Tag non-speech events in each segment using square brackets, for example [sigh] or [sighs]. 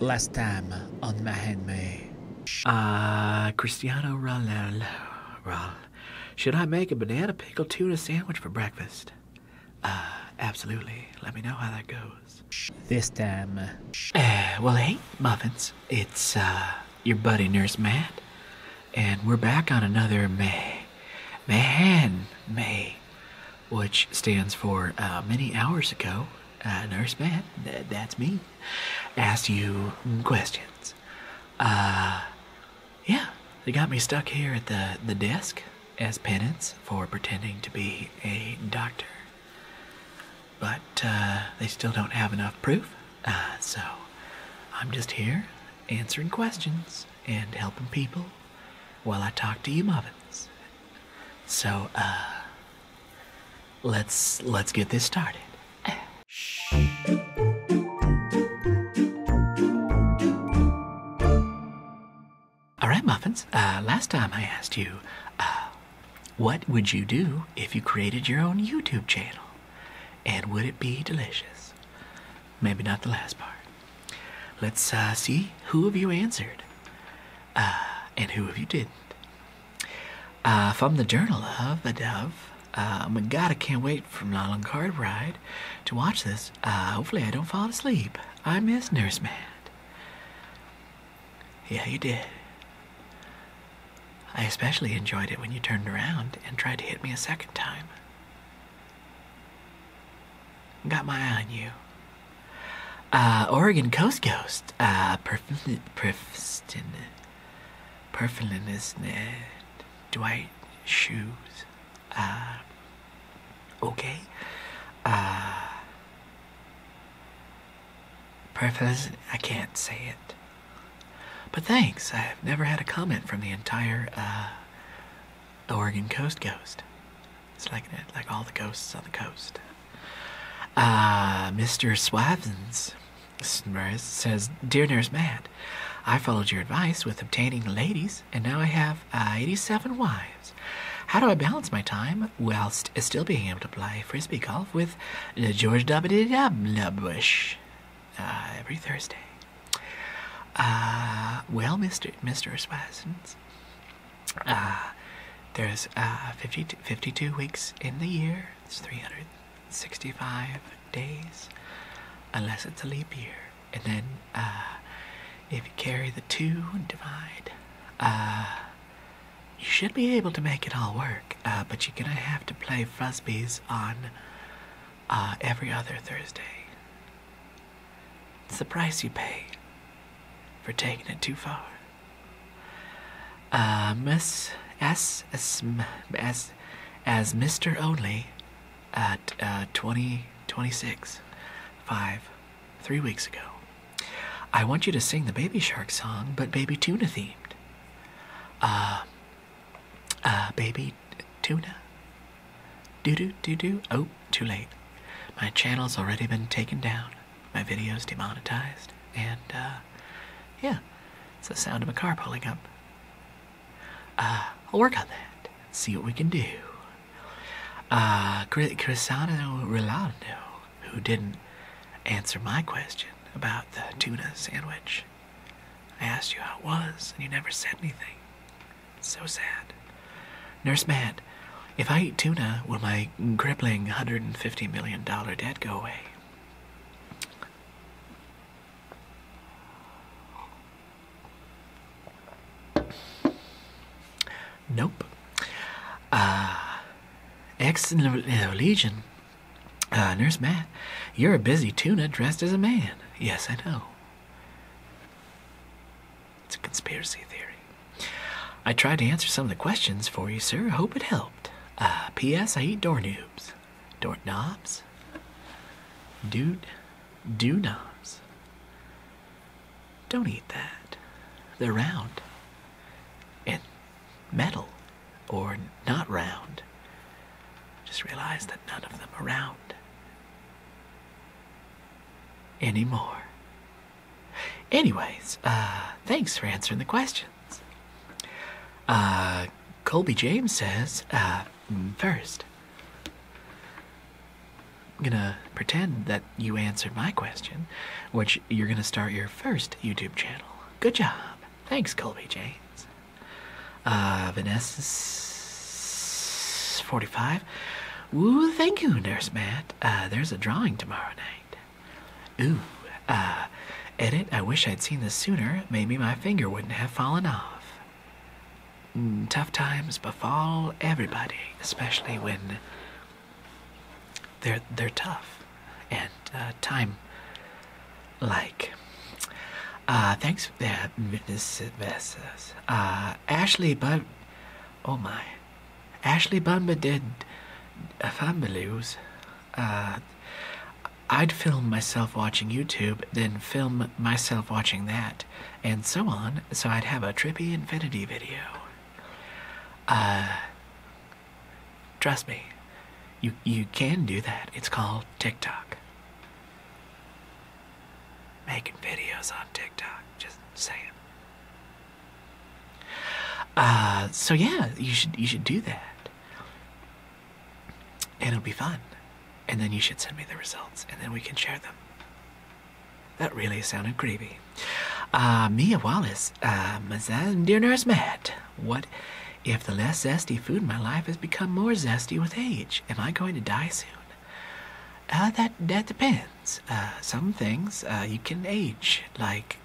Last time on Mahenme. Ah, Cristiano Ronaldo. Well, should I make a banana pickle tuna sandwich for breakfast? Uh, absolutely. Let me know how that goes. This time. Uh, well, hey, Muffins. It's, uh, your buddy Nurse Matt. And we're back on another May. Man, May which stands for uh, many hours ago, uh, Nurse Man, that's me, asked you questions. Uh, yeah, they got me stuck here at the, the desk as penance for pretending to be a doctor. But uh, they still don't have enough proof, so I'm just here answering questions and helping people while I talk to you muffins. So, uh, let's let's get this started. All right, muffins. Uh, last time I asked you, uh, what would you do if you created your own YouTube channel, and would it be delicious? Maybe not the last part. Let's uh, see who have you answered uh, and who have you didn't. Uh, from the Journal of the Dove, uh, my god, I can't wait for my long Nolan ride to watch this. hopefully, I don't fall asleep. I miss Nurse Mad. Yeah, you did. I especially enjoyed it when you turned around and tried to hit me a second time. Got my eye on you. Uh, Oregon Coast Ghost. Uh, Perflin, Perflin, Dwight Shoes. Uh, okay. Uh, Perflin, I can't say it. But thanks, I've never had a comment from the entire, uh, Oregon Coast Ghost. It's like that, like all the ghosts on the coast. Ah, uh, Mr. Swavins says, Dear Nurse mad. I followed your advice with obtaining ladies, and now I have uh, 87 wives. How do I balance my time whilst still being able to play frisbee golf with George W. Bush uh, every Thursday? Uh, well, Mr. Mr. Swazins, uh, there's uh, 52 weeks in the year. It's 365 days, unless it's a leap year. And then uh, if you carry the two and divide, you should be able to make it all work. but you're gonna have to play frisbees on every other Thursday. It's the price you pay for taking it too far. Um, as, as, as, as, as Mr. Only at uh, 2026, five, three weeks ago, I want you to sing the Baby Shark song, but Baby Tuna themed. Uh, uh, baby tuna. Do do do do. Oh, too late. My channel's already been taken down. My video's demonetized. And, uh, yeah, it's the sound of a car pulling up. Uh, I'll work on that. See what we can do. Uh, Cristiano Rilano, who didn't answer my question about the tuna sandwich. I asked you how it was, and you never said anything. So sad. Nurse Matt. if I eat tuna, will my crippling $150 million debt go away? Nope. Uh, ex Legion. Uh, Nurse Matt, you're a busy tuna dressed as a man. Yes, I know. It's a conspiracy theory. I tried to answer some of the questions for you, sir. Hope it helped. Uh, P.S. I eat doorknobs. Doorknobs? Dude, do knobs. Don't eat that. They're round. And metal. Or not round. Just realize that none of them are around anymore. Anyways, uh, thanks for answering the questions. Uh, Colby James says, uh, mm, first, I'm gonna pretend that you answered my question, which you're gonna start your first YouTube channel. Good job. Thanks, Colby James. Uh, Vanessa, 45. Ooh, thank you, Nurse Matt. Uh, there's a drawing tomorrow night. Ooh, uh, edit. I wish I'd seen this sooner. Maybe my finger wouldn't have fallen off. Mm, tough times befall everybody, especially when they're they're tough and uh, time like. Uh, thanks for that, Mrs. Uh, Ashley but Oh my. Ashley Bunman did a family use. I'd film myself watching YouTube, then film myself watching that, and so on, so I'd have a trippy infinity video. Trust me, you, you can do that. It's called TikTok. Making videos on TikTok, just saying. Uh, so yeah, you should you should do that, and it'll be fun. And then you should send me the results, and then we can share them. That really sounded creepy. Uh, Mia Wallace, uh, dear nurse Matt, what? If the less zesty food in my life has become more zesty with age, am I going to die soon? Uh, that that depends. Uh, some things uh, you can age, like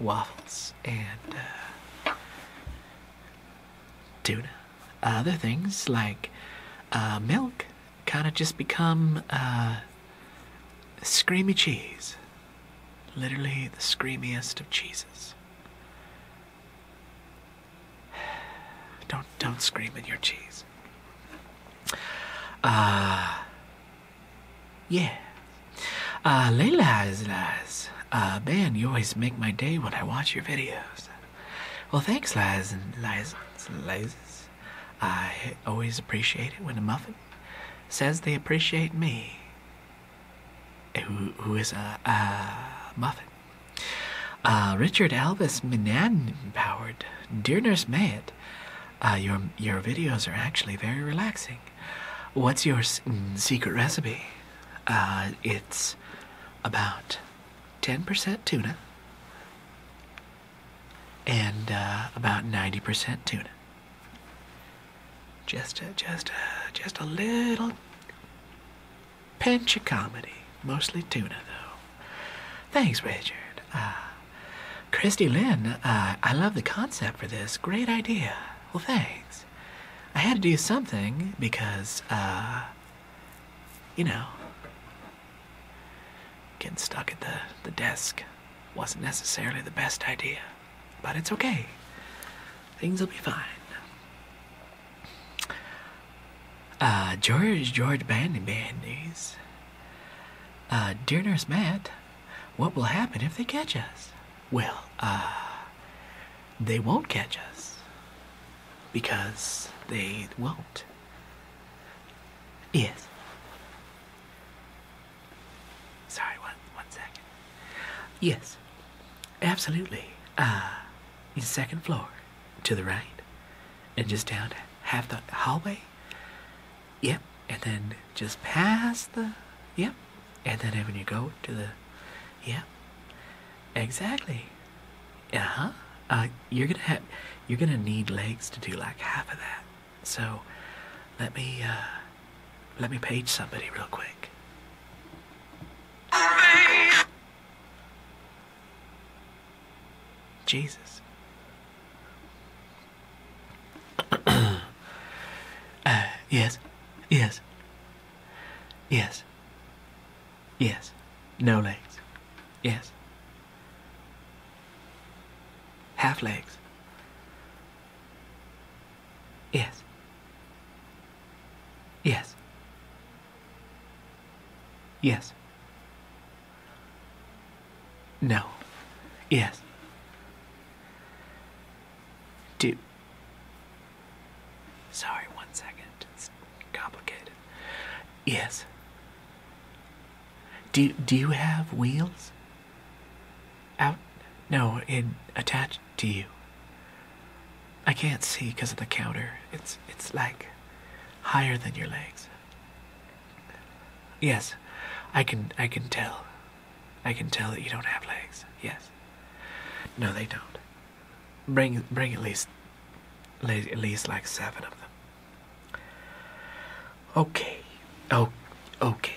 waffles and tuna. Other things like milk kind of just become uh, screamy cheese. Literally the screamiest of cheeses. [sighs] Don't don't scream in your cheese. Ah, yeah. Uh Layla's Laz. Uh Ben, you always make my day when I watch your videos. Well thanks Laz and and Laz. I always appreciate it when a muffin says they appreciate me who is a, a muffin. Uh, Richard Elvis Minan empowered. Dear Nurse Mayet, uh, your, your videos are actually very relaxing. What's your mm, secret recipe? Uh, it's about 10% tuna and about 90% tuna. Just a, just just a little pinch of comedy. Mostly tuna, though. Thanks, Richard. Uh, Christy Lynn, uh, I love the concept for this. Great idea. Well, thanks. I had to do something because, uh, you know, getting stuck at the, the desk wasn't necessarily the best idea, but it's okay. Things will be fine. Uh, George, George Bandy Bandies. Uh, dear Nurse Matt, what will happen if they catch us? Well, uh, they won't catch us. Because they won't. Yes. Sorry, one one second. Yes, absolutely. the uh, second floor, to the right, and just down half the hallway. Yep, and then just past the yep, and then when you go to the yep, exactly. Uh huh. Uh, you're gonna have you're gonna need legs to do like half of that. So let me uh, let me page somebody real quick. Jesus. [coughs] Uh, yes. Yes. Yes. Yes. No legs. Yes. Half legs. Yes. Yes. Yes. No. Yes. Do. Sorry, one second. It's complicated. Yes. Do do you have wheels? Out? No, in attached to you. I can't see because of the counter. It's it's like higher than your legs. Yes, I can I can tell. I can tell that you don't have legs. Yes. No, they don't. Bring bring at least at least like seven of them. Okay. Oh, okay.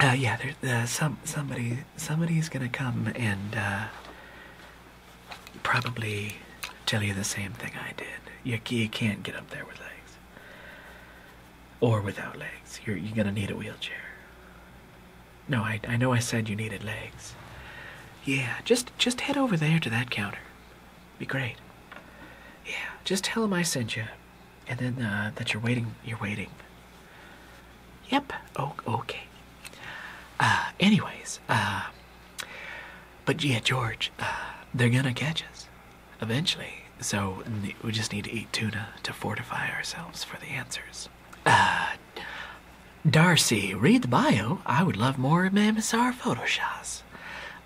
Uh, yeah, there's some somebody somebody is gonna come and uh, probably tell you the same thing I did. You, can't get up there with legs, or without legs. You're you're gonna need a wheelchair. No, I I know I said you needed legs. Yeah, just just head over there to that counter. Be great. Yeah, just tell him I sent you, and then uh, that you're waiting. You're waiting. Yep. Oh, okay. Uh, anyways, uh, but yeah, George, uh, they're gonna catch us eventually. So we just need to eat tuna to fortify ourselves for the answers. Uh, Darcy, read the bio. I would love more of MSR photo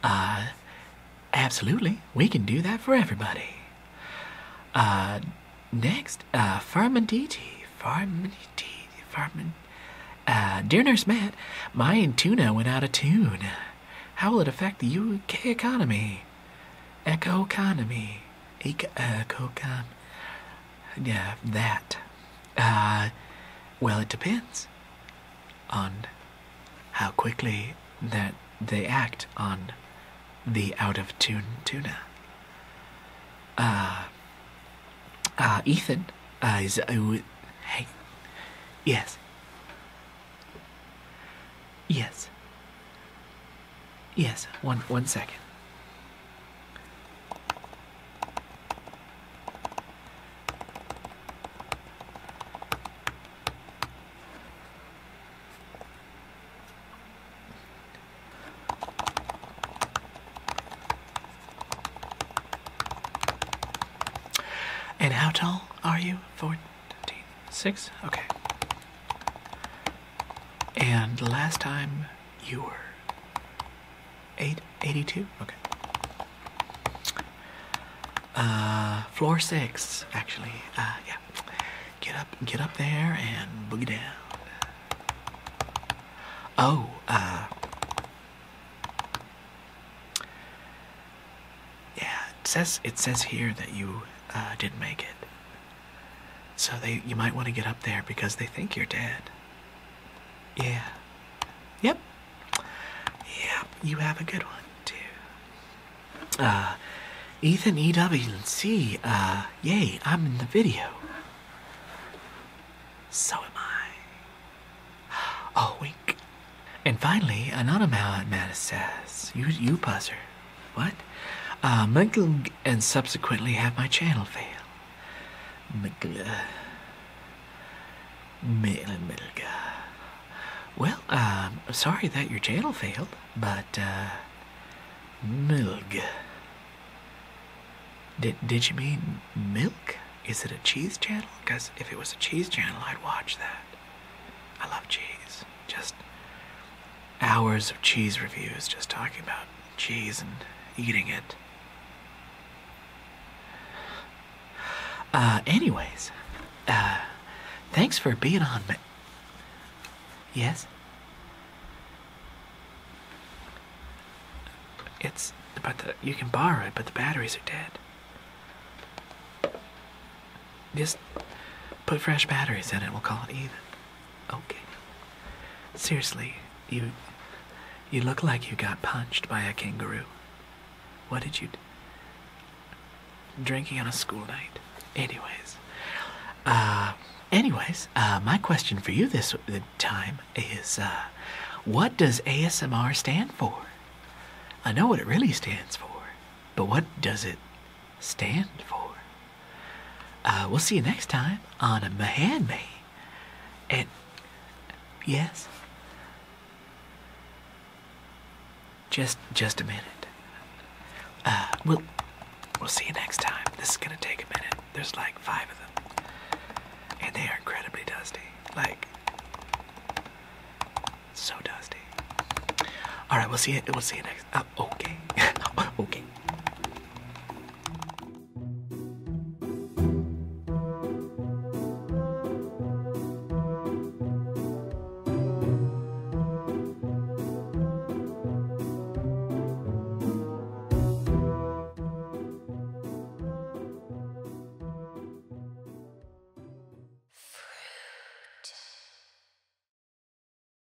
uh, absolutely, we can do that for everybody. Uh, next, uh, Farmanditi, Farmanditi, Farman. Uh, dear Nurse Matt, my tuna went out of tune. How will it affect the UK economy? Eco uh, economy. Eco economy. Yeah, that. Uh, well, it depends on how quickly that they act on the out of tune tuna. Uh, uh, Ethan uh, is. Uh, hey. Yes. Yes. Yes. One. One second. And how tall are you? 14, Okay. And last time you were Eight eighty-two. Okay. Uh, floor six, actually. Uh, yeah. Get up, get up there and boogie down. Oh, uh, yeah. It says it says here that you uh, didn't make it, so they you might want to get up there because they think you're dead. Yeah. Yep. Yep. You have a good one too. Uh, Ethan E.W. and C. Uh, yay! I'm in the video. So am I. [gasps] Oh, wink. And finally, another Mattis says, "You, you buzzer. What? Uh, Michael and subsequently have my channel fail. Milga. Maitland Milga. Well, um, sorry that your channel failed, but, uh, Milg. Did, did you mean milk? Is it a cheese channel? Because if it was a cheese channel, I'd watch that. I love cheese. Just hours of cheese reviews, just talking about cheese and eating it. Uh, anyways, uh, thanks for being on me. Yes? It's, but the, you can borrow it, but the batteries are dead. Just put fresh batteries in it, we'll call it even. Okay. Seriously, you. You look like you got punched by a kangaroo. What did you. Drinking on a school night. Anyways. Uh, anyways, uh, my question for you this time is uh, what does ASMR stand for? I know what it really stands for, but what does it stand for? Uh, we'll see you next time on a Mahan May. And yes, just just a minute. Uh, we'll we'll see you next time. This is gonna take a minute. There's like five of them, and they are incredibly dusty. Like so dusty. All right, we'll see you. We'll see you next guys. Ah, okay. [laughs] okay.